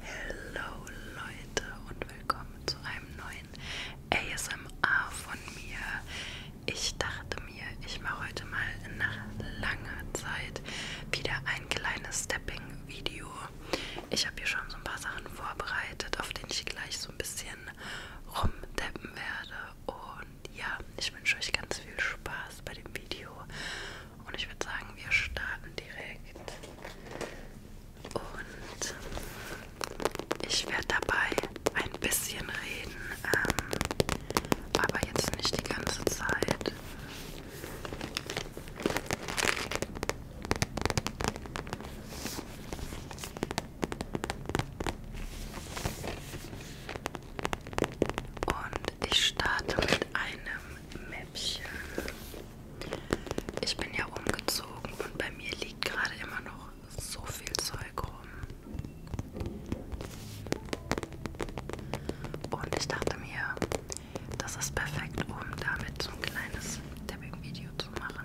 Hallo Leute und willkommen zu einem neuen ASMR von mir. Ich dachte mir, ich mache heute mal nach langer Zeit wieder ein kleines Stepping-Video. Ich habe hier schon so ein paar Sachen vorbereitet, auf denen ich gleich so ein bisschen rumdeppen werde. Und ja, ich wünsche euch ganz viel Spaß bei dem Video und ich würde sagen, wir starten direkt. Und ich werde dabei ein bisschen reden, ähm, aber jetzt nicht die ganze Zeit. Und ich starte mit einem Mäppchen. Ich bin ja umgezogen und bei mir liegt gerade immer noch so viel Zeug rum. Und ich dachte mir, das ist perfekt, um damit so ein kleines Tapping-Video zu machen.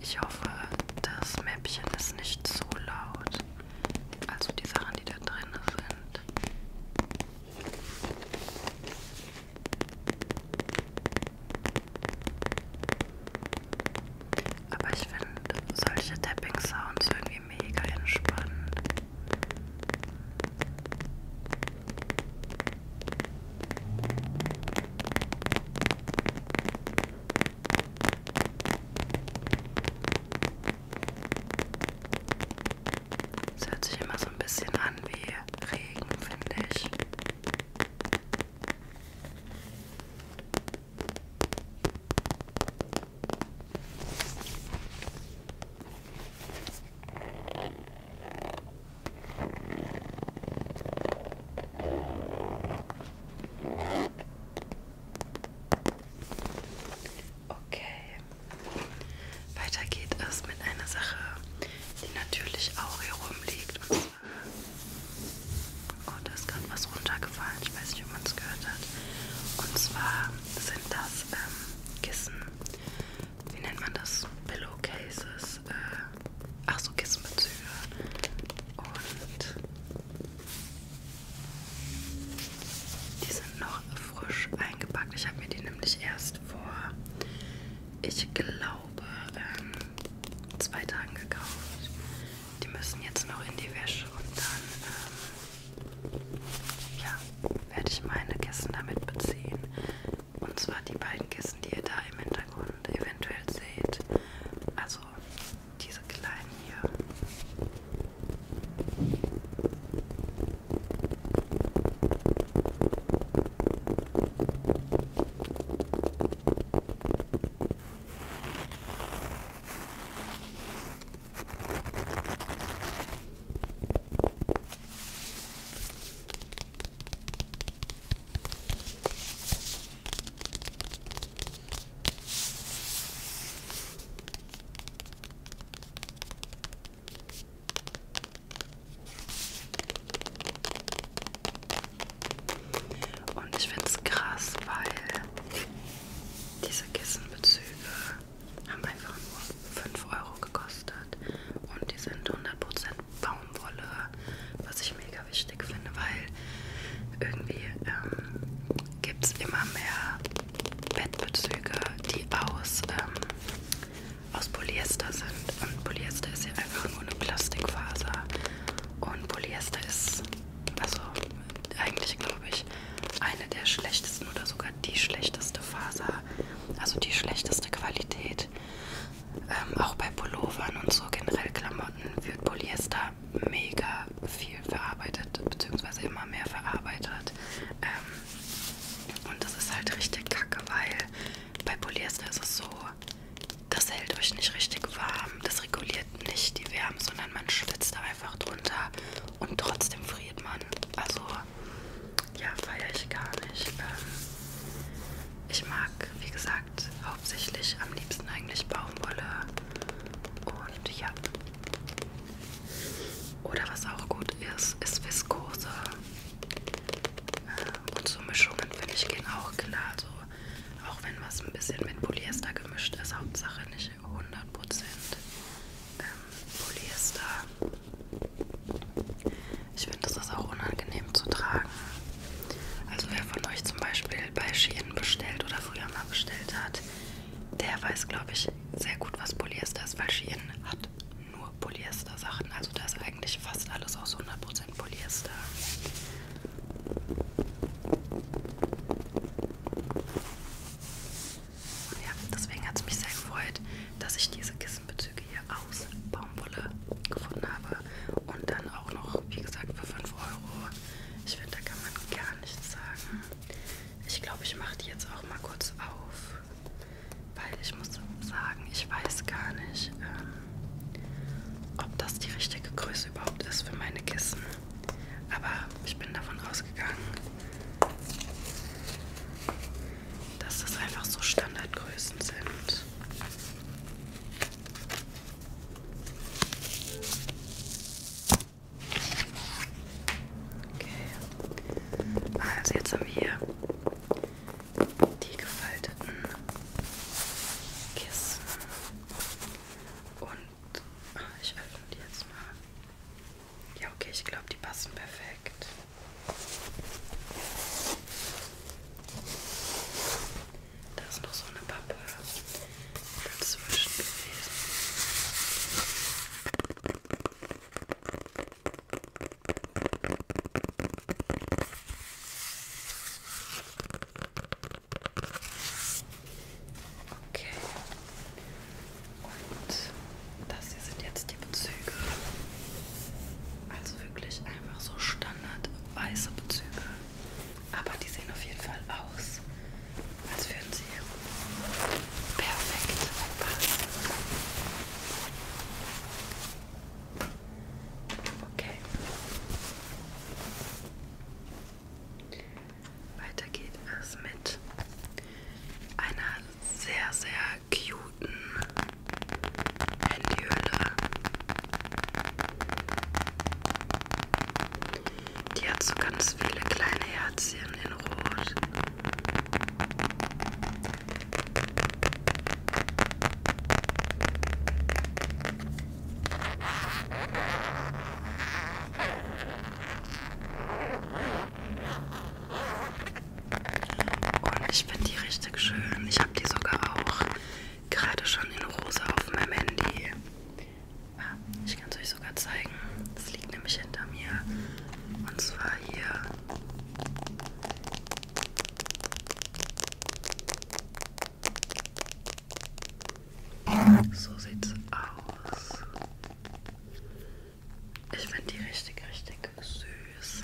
Ich hoffe, das Mäppchen ist nicht so laut. Also die Sachen, die da drin sind. Aber ich finde solche Tapping-Sounds irgendwie mega entspannend. Es hört sich immer so ein bisschen an wie Regen, finde ich. Okay, weiter geht es mit einer Sache, die natürlich auch hier rumliegt. Und zwar, oh, da ist gerade was runtergefallen, ich weiß nicht, ob man es gehört hat. Und zwar sind das ähm, Kissen, wie nennt man das? Pillowcases ist, äh, ach so, Kissenbezüge und die sind noch frisch eingepackt. Ich habe mir die nämlich erst vor, ich glaube, ähm, zwei Tagen gekauft. Die müssen jetzt noch in die Wäsche und dann, ähm, ja, werde ich meine Kissen damit beziehen. Und zwar die beiden Kissen, die ihr da im Hintergrund eventuell seht. Also diese kleinen hier. Und ich finde es krass, weil diese Kissenbezüge haben einfach nur 5 Euro gekostet und die sind 100% Baumwolle, was ich mega wichtig finde, weil irgendwie ähm, gibt es immer mehr Bettbezüge, die aus, ähm, aus Polyester sind. Und Polyester ist ja einfach nur eine Plastikfaser. Und Polyester ist, also eigentlich glaube ich, eine der schlechtesten oder sogar die schlechteste Faser, also die schlechteste Qualität ähm, auch bei Pullovern und so generell Klamotten wird Polyester mega viel verarbeitet, beziehungsweise immer mehr verarbeitet. Ähm, und das ist halt richtig kacke, weil bei Polyester ist es so, das hält euch nicht richtig warm, das reguliert nicht die Wärme, sondern man schwitzt da einfach drunter und trotzdem friert man. Also ja, feiere ich gar nicht. Ähm, ich mag, wie gesagt, hauptsächlich am liebsten eigentlich Baumwolle und ja. Oder was auch gut ist, ist Viskose. Äh, und so Mischungen finde ich gehen auch klar. Also, auch wenn was ein bisschen mit Polyester gemischt ist, Hauptsache nicht 100% ähm, Polyester. Ich finde, das ist auch unangenehm zu tragen. Also wer von euch zum Beispiel bei Shein bestellt oder früher mal bestellt hat, der weiß, glaube ich, sehr gut, was Polyester ist, weil Shein hat nur Polyester-Sachen. Also da ist eigentlich fast alles aus 100% Polyester. Und ja, deswegen hat es mich sehr gefreut, dass ich diese Kissenbezüge Stücke hier aus Baumwolle gefunden habe. Und dann auch noch, wie gesagt, für 5 Euro. Ich finde, da kann man gar nichts sagen. Ich glaube, ich mache die jetzt auch mal kurz auf. Weil ich muss sagen, ich weiß gar nicht, ähm, ob das die richtige Größe überhaupt ist für meine Kissen. Aber ich bin davon ausgegangen dass das einfach so Standardgrößen sind. Okay. Also jetzt haben wir hier die gefalteten Kissen und ah, ich öffne die jetzt mal. Ja okay, ich glaube die passen perfekt. Da ist noch so eine Pappe dazwischen gewesen. Okay. Und das hier sind jetzt die Bezüge. Also wirklich einfach so standard weiße Bezüge. Aber die sehen auf jeden Fall aus, als würden sie perfekt passen. Okay. Weiter geht es mit einer sehr, sehr cuten Handyhülle. Die hat so ganz viele kleine Herzchen in Rot. Und ich finde die richtig schön. Ich habe die sogar auch gerade schon in Rosa auf meinem Handy. Ah, ich kann es euch sogar zeigen. Das liegt nämlich hinter mir. Und zwar hier. So sieht's aus. Ich finde die richtig, richtig süß.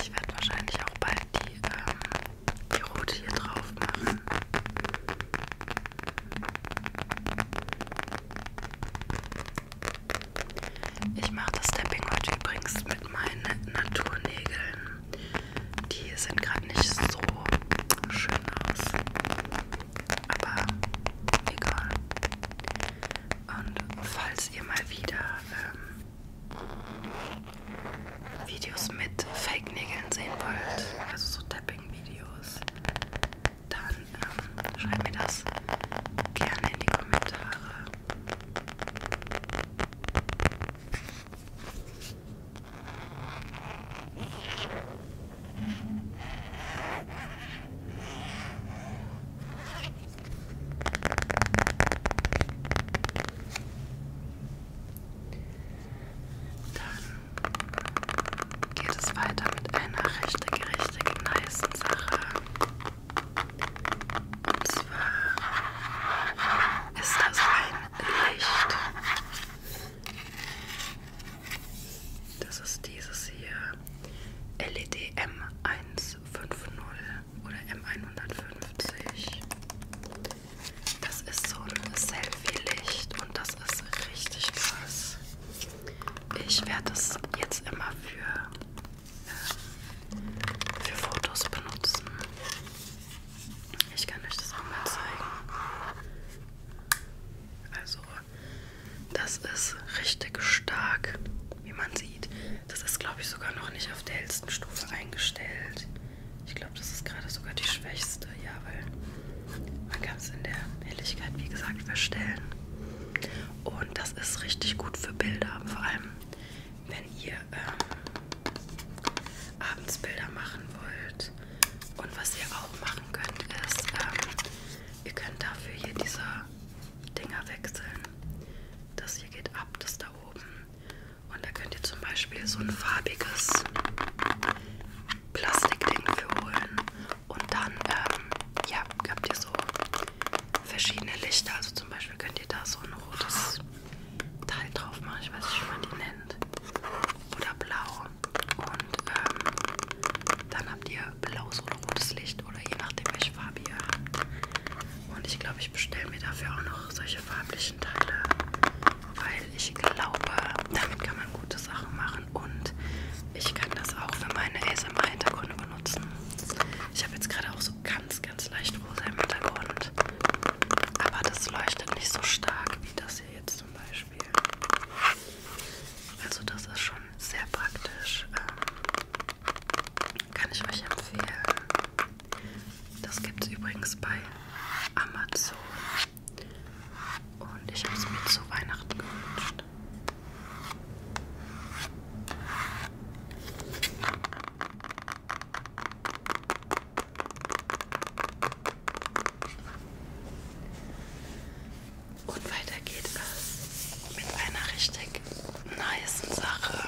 Ich werde wahrscheinlich auch bald die, ähm, die Route hier drauf machen. Ich mache das Stepping heute übrigens mit meinen Naturnägeln. Die sind gerade nicht so schön aus aber egal. Und falls ihr mal wieder ähm, Videos mit Fake-Nägeln sehen wollt, also so Tapping-Videos, dann ähm, schreibt mir das gerne in die Kommentare. Dann geht es weiter mit einer richtig, richtig nice Sache. Und zwar ist das ein Licht. Das ist dieses hier. LED M150 oder M150. Das ist so ein Selfie-Licht und das ist richtig krass. Ich werde das jetzt immer für, äh, für Fotos benutzen. Ich kann euch das auch mal zeigen. Also das ist richtig stark, wie man sieht. Das ist, glaube ich, sogar noch nicht auf der hellsten Stufe eingestellt. Ich glaube, das ist gerade sogar die schwächste, ja, weil man kann es in der Helligkeit, wie gesagt, verstellen. Und das ist richtig gut für Bilder, vor allem wenn ihr ähm, abends Bilder machen wollt. Und was ihr auch machen könnt, ist, ähm, Ihr könnt dafür hier diese Dinger wechseln. Das hier geht ab, das da oben. Und da könnt ihr zum Beispiel so ein farbiges Plastikding für holen. Und dann ähm, ja, habt ihr so verschiedene Lichter. Also zum Beispiel könnt ihr da so ein rotes Teil drauf machen. Ich weiß nicht, wie man die nennt. Oder blau. Und ähm, dann habt ihr blaues oder rotes Licht oder je nachdem, welche Farbe ihr habt. Und ich glaube, ich bestelle mir dafür auch noch solche farblichen Teile, weil ich glaube, damit kann man gute Sachen machen und ich kann das auch für meine ASMR-Hintergründe benutzen. Ich habe jetzt gerade auch so ganz, ganz leicht rosa im Hintergrund, aber das leuchtet nicht so stark wie das hier jetzt zum Beispiel. Beispiel. Also das ist schon sehr praktisch. Ähm, kann ich euch empfehlen. Das gibt es übrigens bei Amazon. Und ich habe es mir zu Weihnachten gewünscht. Und weiter geht es mit einer richtig niceen Sache.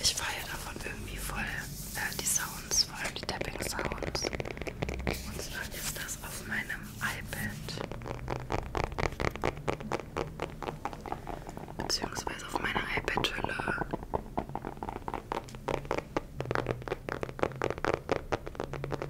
Ich feiere davon irgendwie voll äh, die Sounds, vor allem die Tapping Sounds. Und zwar ist das auf meinem iPad. Beziehungsweise auf meiner iPad-Hülle.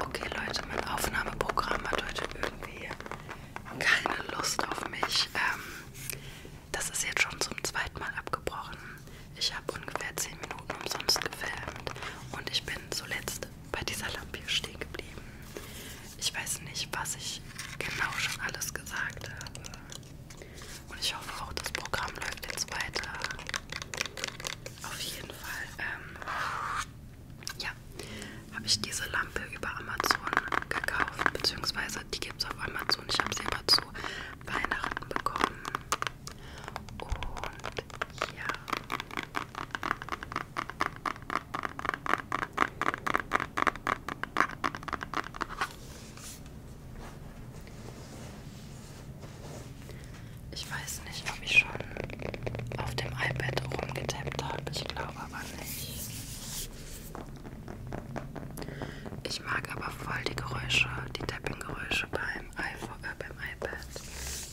Okay Leute, mein Aufnahmeprogramm hat heute irgendwie keine Lust auf mich. Ähm, das ist jetzt schon zum zweiten Mal abgebrochen. Ich habe ungefähr 10 Minuten umsonst gefilmt und ich bin zuletzt bei dieser Lampe hier stehen geblieben. Ich weiß nicht, was ich genau schon alles gesagt habe. Und ich hoffe auch, das Programm läuft jetzt weiter. Auf jeden Fall. Ähm, ja, habe ich diese Lampe über Amazon gekauft, beziehungsweise die gibt es auf Amazon. Ich habe sie aber zu Weihnachten bekommen. Und ja. Ich weiß nicht, ob ich schon auf dem iPad rumgetappt habe. Ich glaube aber nicht. Ich mag aber voll die Geräusche, die Tapping-Geräusche beim iPhone, äh, beim iPad,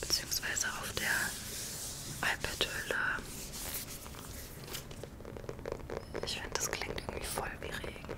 beziehungsweise auf der iPad-Hülle. Ich finde, das klingt irgendwie voll wie Regen.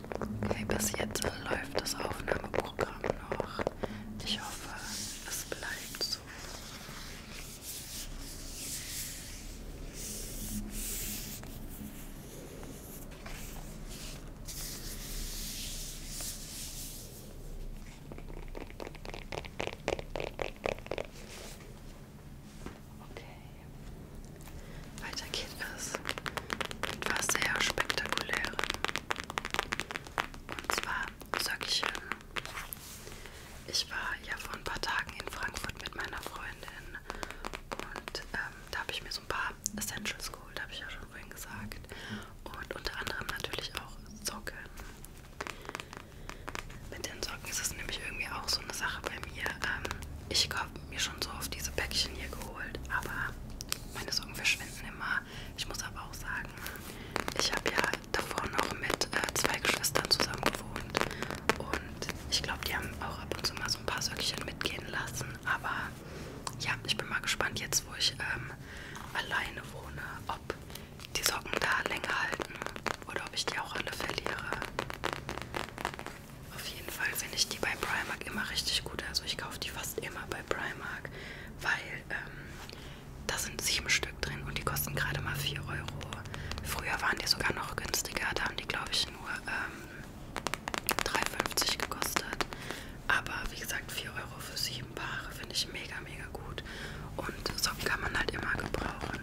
Okay, bis jetzt läuft das Aufnahmeprogramm noch. Ich hoffe, es bleibt so. Okay. Weiter geht es mit was sehr spektakulärem. Und zwar Söckchen. Äh, ich war ja vor ein paar Tagen in Frankfurt mit meiner Freundin und ähm, da habe ich mir so ein paar Essentials geholt, habe ich ja schon vorhin gesagt. Und unter anderem natürlich auch Socken. Mit den Socken ist es nämlich irgendwie auch so eine Sache bei mir. Ähm, ich habe mir schon so oft diese Päckchen hier geholt, aber meine Socken verschwinden immer. Ich muss aber auch sagen, ich habe ja davor noch mit äh, zwei Geschwistern zusammen gewohnt und ich glaube, die haben auch ab und zu mal so ein paar Söckchen mitgehen lassen, aber ja, ich bin mal gespannt jetzt, wo ich ähm, alleine wohne, ob die Socken da länger halten oder ob ich die auch alle verliere. Auf jeden Fall finde ich die bei Primark immer richtig gut. Also ich kaufe die fast immer bei Primark, weil ähm, da sind sieben Stück drin und die kosten gerade mal 4 Euro. Früher waren die sogar noch günstiger, da haben die glaube ich nur ähm, 3,50 gekostet. Aber wie gesagt, 4 Euro für sieben Paare finde ich mega, mega gut. Und Socken kann man halt immer gebrauchen.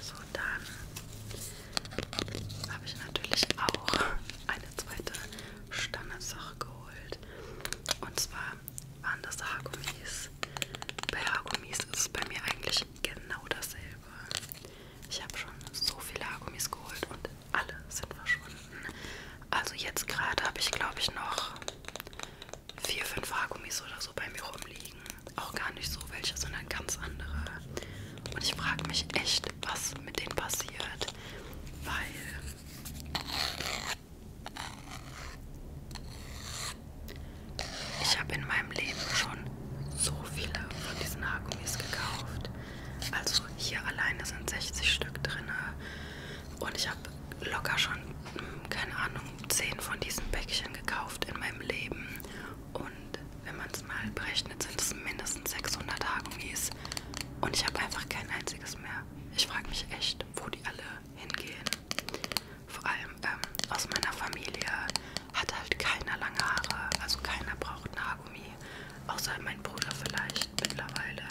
So, dann habe ich natürlich auch eine zweite Standardsache geholt. Und zwar waren das Haargummis. Bei Haargummis ist es bei mir eigentlich genau dasselbe. Ich habe schon so viele Haargummis geholt und alle sind verschwunden. Also jetzt gerade habe ich glaube ich noch vier, fünf Haargummis oder so bei mir rumliegen. Auch gar nicht so welche, sondern ganz andere. Und ich frage mich echt, was mit denen passiert. Weil ich habe in meinem Leben schon so viele von diesen Haargummis gekauft. Also hier alleine sind 60 Stück drin. Und ich habe locker schon, hm, keine Ahnung, 10 von diesen Päckchen gekauft in meinem Leben. Und wenn man es mal berechnet, sind es mindestens 600 Haargummis. Und ich habe einfach kein einziges mehr. Ich frage mich echt, wo die alle hingehen. Vor allem ähm, aus meiner Familie hat halt keiner lange Haare. Also keiner braucht ein Haargummi. Außer mein Bruder vielleicht mittlerweile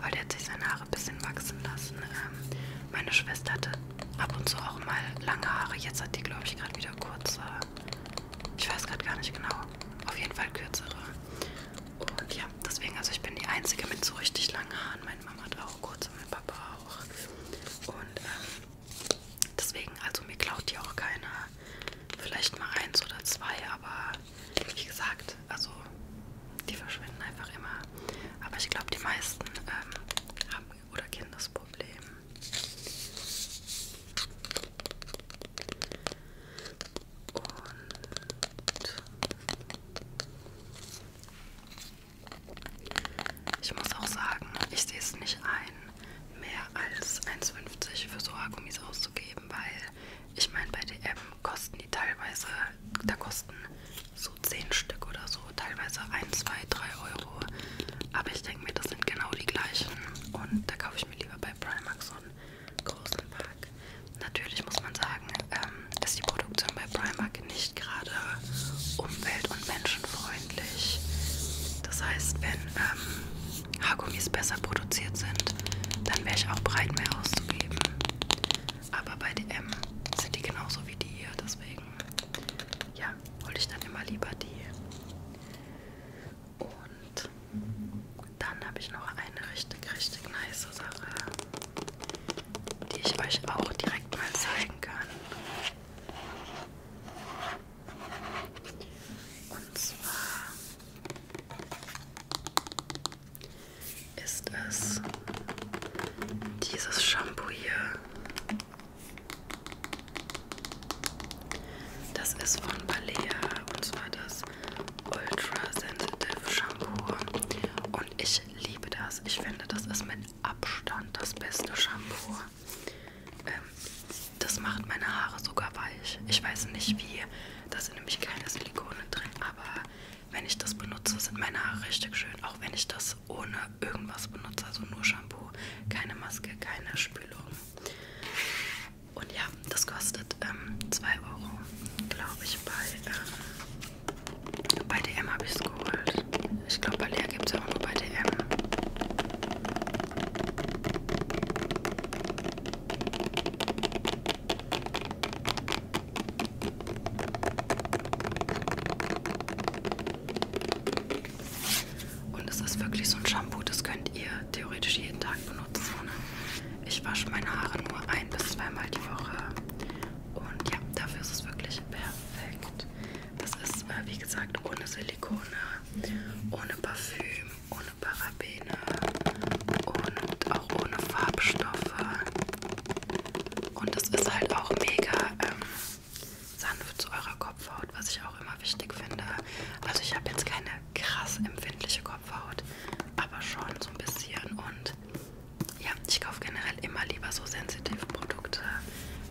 weil der hat sich seine Haare ein bisschen wachsen lassen. Ähm, meine Schwester hatte ab und zu auch mal lange Haare. Jetzt hat die, glaube ich, gerade wieder kurze. Ich weiß gerade gar nicht genau. Auf jeden Fall kürzere. Und ja, deswegen, also ich bin die Einzige mit so richtig langen Haaren. Meine Mama hat auch kurze, mein Papa auch. Und ähm, deswegen, also mir klaut die auch keiner. Vielleicht mal eins oder zwei, aber wie gesagt, also die verschwinden einfach immer. Aber ich glaube, die meisten ähm, haben oder kennen das Problem. Und ich muss auch sagen, ich sehe es nicht ein, mehr als 1,50 für Sohagummis auszugeben, weil ich meine, bei DM kosten die teilweise, da kosten so 10 Stück oder so, teilweise 1, 2, 3 Euro. Aber ich denke mir, das sind genau die gleichen. Und da kaufe ich mir lieber bei Primark so einen großen Pack. Natürlich muss man sagen, ähm, ist die Produktion bei Primark nicht gerade umwelt- und menschenfreundlich. Das heißt, wenn ähm, Haargummis besser produziert sind, gekauft, dann wäre ich auch bereit, mehr auszugeben. Aber bei DM sind die genauso wie die hier, deswegen ja, hole ich dann immer lieber die. Und dann habe ich noch eine richtig, richtig nice Sache, die ich euch auch direkt mal zeigen kann. Und zwar ist es dieses Shampoo hier. Das ist von Balea und zwar das Ultra Sensitive Shampoo. Und ich liebe das. Ich finde, das ist mit Abstand das beste Shampoo. Ähm, das macht meine Haare sogar weich. Ich weiß nicht, wie da sind nämlich keine Silikone drin, aber wenn ich das benutze, sind meine Haare richtig schön. Auch wenn ich das ohne irgendwas benutze, also nur Shampoo, keine Maske, keine Spülung. Und ja, das kostet 2 ähm, Euro, glaube ich, bei, ähm, bei DM habe ich es geholt. Ich glaube, bei Lea gibt es ja auch nur bei DM. Und es ist wirklich so ein Shampoo, das könnt ihr theoretisch jeden Tag benutzen. Ich wasche meine Haare nur ein bis zweimal die Woche. Und ja, dafür ist es wirklich perfekt. Das ist, äh, wie gesagt, ohne Silikone, ohne Parfüm. Parfüm, ohne Parabene und auch ohne Farbstoffe. Und es ist halt auch mega ähm, sanft zu eurer Kopfhaut, was ich auch immer wichtig finde. Also ich habe jetzt keine krass empfindliche Kopfhaut, aber schon so ein bisschen. Und ja, ich kaufe generell immer lieber so sensitive Produkte,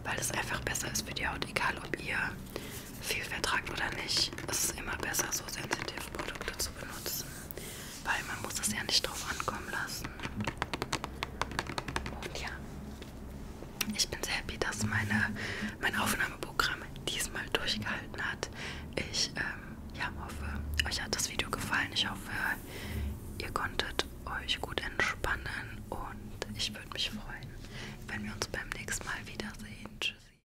weil es einfach besser ist für die Haut, egal ob ihr viel vertragt oder nicht. Es ist immer besser, so sensitive Produkte zu benutzen, weil man muss es ja nicht drauf ankommen lassen. Und ja, ich bin sehr happy, dass meine, mein Aufnahmeprogramm diesmal durchgehalten hat. Ich ähm, ja, hoffe, euch hat das Video gefallen. Ich hoffe, ihr konntet euch gut entspannen und ich würde mich freuen, wenn wir uns beim nächsten Mal wiedersehen. Tschüssi.